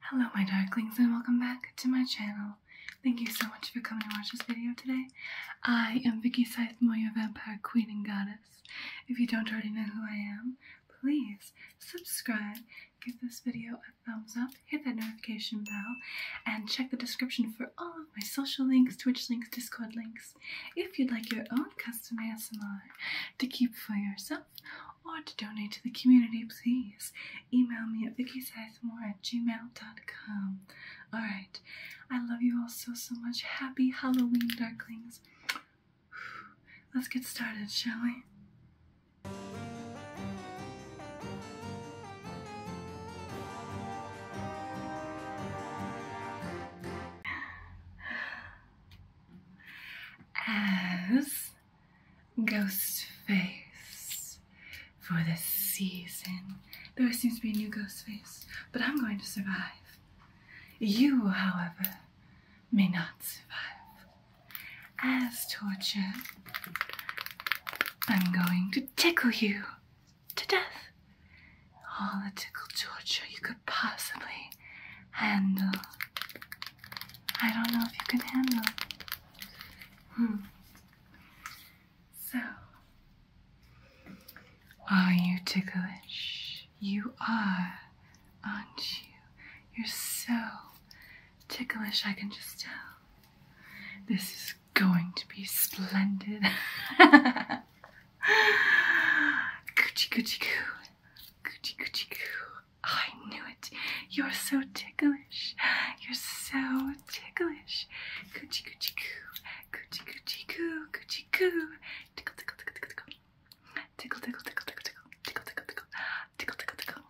Hello my darklings and welcome back to my channel. Thank you so much for coming to watch this video today. I am Vicky Scythemore, your vampire queen and goddess. If you don't already know who I am, please subscribe, give this video a thumbs up, hit that notification bell, and check the description for all of my social links, Twitch links, Discord links. If you'd like your own custom ASMR to keep for yourself, or to donate to the community, please email me at VickySizemore at gmail.com. Alright, I love you all so, so much. Happy Halloween, darklings. Let's get started, shall we? As ghost face for this season. There seems to be a new ghost face, but I'm going to survive. You, however, may not survive. As torture, I'm going to tickle you to death. All the tickle torture you could possibly handle. I don't know if you can handle it. Hmm. So, are you ticklish? You are, aren't you? You're so ticklish, I can just tell. This is going to be splendid. Coochie coochie coo. Coochie coochie coo. I knew it. You're so ticklish. You're so ticklish. Coochie coochie coo. Coochie coochie coo. Coochie coo. Tickle tickle tickle tickle tickle. Tickle tickle tickle tickle tickle. Tickle tickle tickle.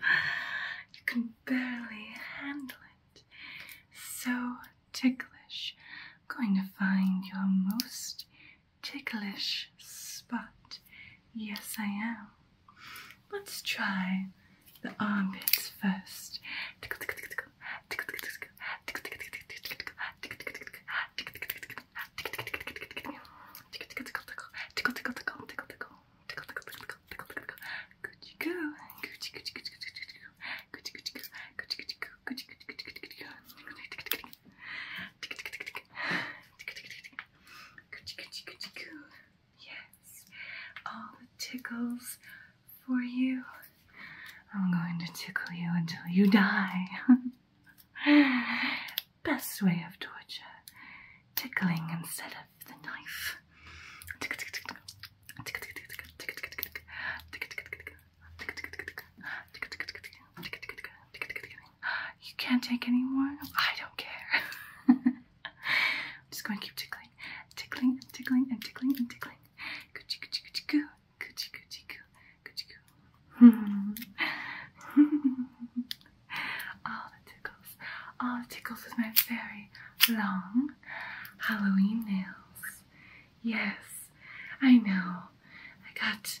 you can barely handle it. So ticklish. I'm going to find your most ticklish spot. Yes, I am. Let's try the armpits first. Yes, all the tickles for you. I'm going to tickle you until you die. Best way of torture tickling instead of the knife. You can't take anymore. I don't care. I'm just going to keep tickling, tickling, and tickling, and tickling, and tickling. Coochie, coochie, coochie, coo. Coochie, coochie, coo. Coochie, coo. All the tickles. All the tickles with my very long Halloween nails. Yes, I know. I got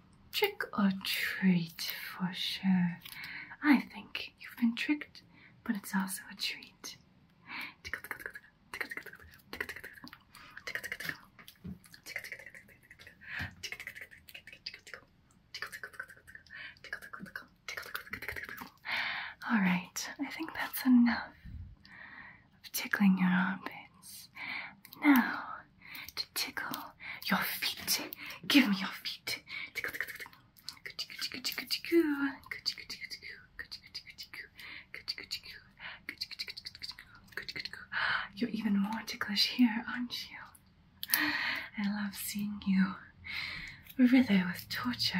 Trick or treat for sure. I think you've been tricked, but it's also a treat. All right, I think that's enough of tickling your armpits. Now, to tickle your feet. Give me your feet. Tickle, tickle, tickle, tickle. You're even more ticklish here, aren't you? I love seeing you writher with torture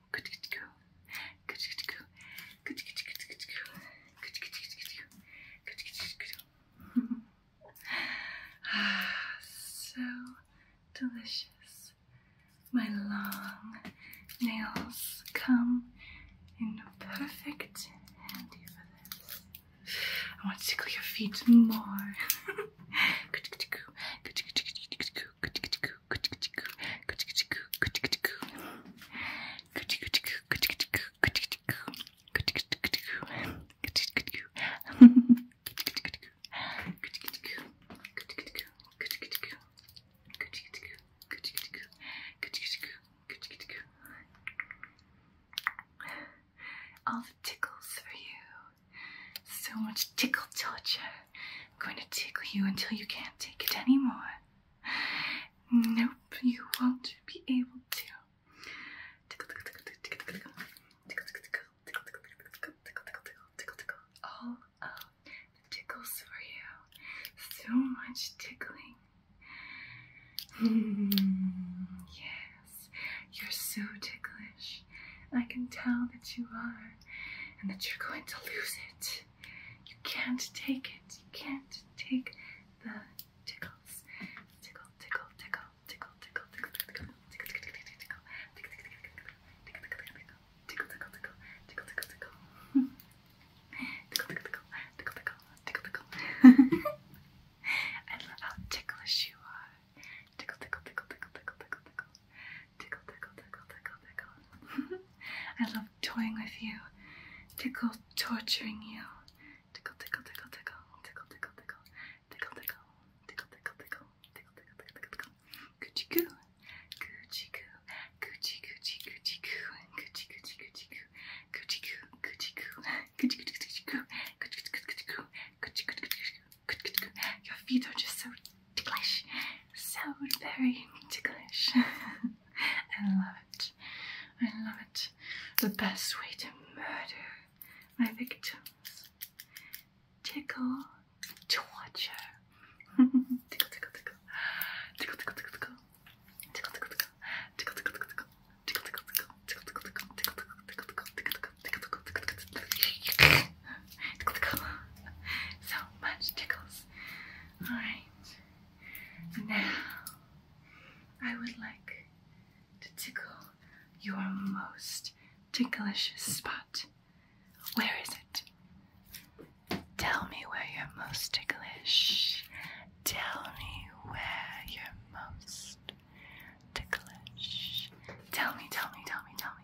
ah, so delicious. My long nails come in perfect handy for this. I want to tickle your feet more. All the tickles for you. So much tickle torture going to tickle you until you can't take it anymore. Nope, you won't be able to. Tickle, tickle, tickle, tickle, tickle, tickle, tickle, tickle, tickle, tickle, tickle, tickle, tickle, tickle, tickle, all of the tickles for you. So much tickling. Mm, yes, you're so ticklish. I can tell that you are, and that you're going to lose it. You can't take it. You can't take the tickles. Tickle, tickle, tickle, tickle, tickle, tickle, tickle, tickle, tickle, tickle, tickle, tickle, tickle, tickle, tickle, tickle, tickle, tickle. Tickle, tickle, tickle, tickle, tickle, tickle, tickle. I love how ticklish you are. Tickle, tickle, tickle, tickle, tickle, tickle, tickle. Tickle, tickle, tickle, tickle, tickle. I love toying with you. Tickle, torturing you. Tickle, tickle, tickle, tickle. Tickle, tickle, tickle. Tickle, tickle. Tickle, tickle, tickle. Tickle, tickle, tickle, tickle. Coochie goo. Coochie goo. Coochie, coochie, coochie goo. Coochie, coochie, coochie goo. Coochie goo, coochie goo. Coochie, coochie, coochie goo. Coochie, coochie, coochie goo. Coochie, coochie, coochie goo. Your feet are just so ticklish, so very ticklish. I love it. I love it. The best way to murder my victims. Tickle, torture. tickle, tickle, tickle. Tickle, tickle, tickle, tickle. Tickle, tickle, tickle. Tickle, tickle, tickle. Tickle, tickle, tickle. Tickle, tickle, tickle. Tickle, tickle, tickle. Tickle, tickle, tickle. Tickle, tickle. So much tickles. Alright. Now, I would like to tickle your most ticklish spot. Where is it? Tell me where you're most ticklish. Tell me where you're most ticklish. Tell me, tell me, tell me, tell me.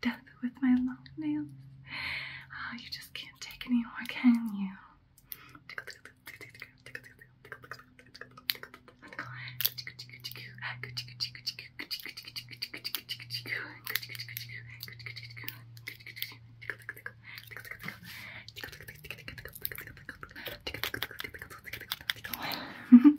death with my long nails. Oh, you just can't take any can you?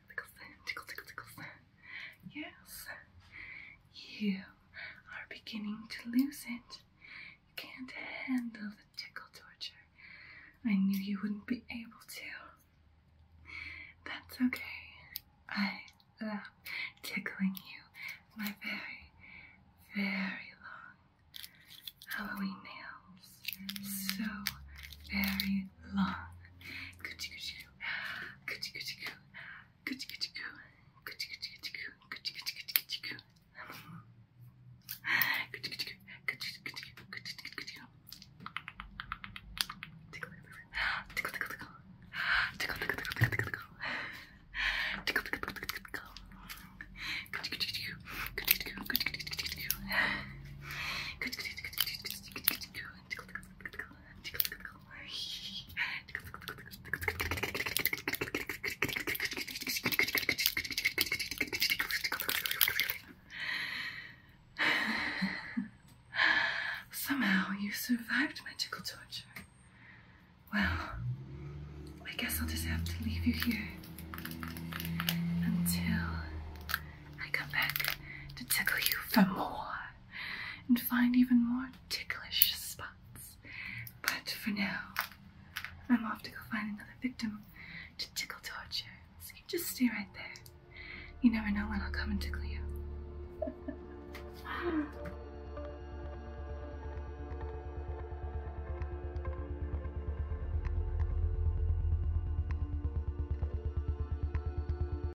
tickles, tickle, tickle, tickles. Yes, you are beginning to lose it. You can't handle the tickle torture. I knew you wouldn't be able to. That's okay. I love tickling you. My very, very long Halloween nails. So very day long. Coochie coochie coo. Coochie coochie coo. Coochie coochie coo. Coochie coochie coochie coo. Coochie coochie coochie coochie coo. Coochie coochie coo. Coochie coochie coo. Coochie coochie coochie coo. Tickle tickle tickle tickle. Tickle tickle tickle tickle tickle tickle. Tickle tickle tickle tickle tickle. Coochie coochie coo. Coochie coochie coo. Coochie coochie coochie coo. Coochie coochie coochie coo. Tickle tickle tickle tickle tickle. Somehow you survived magical torture. Well, I guess I'll just have to leave you here until I come back to tickle you for more and find even more ticklish spots. But for now, I'm off to go find another victim to tickle torture. So you just stay right there. You never know when I'll come and tickle you.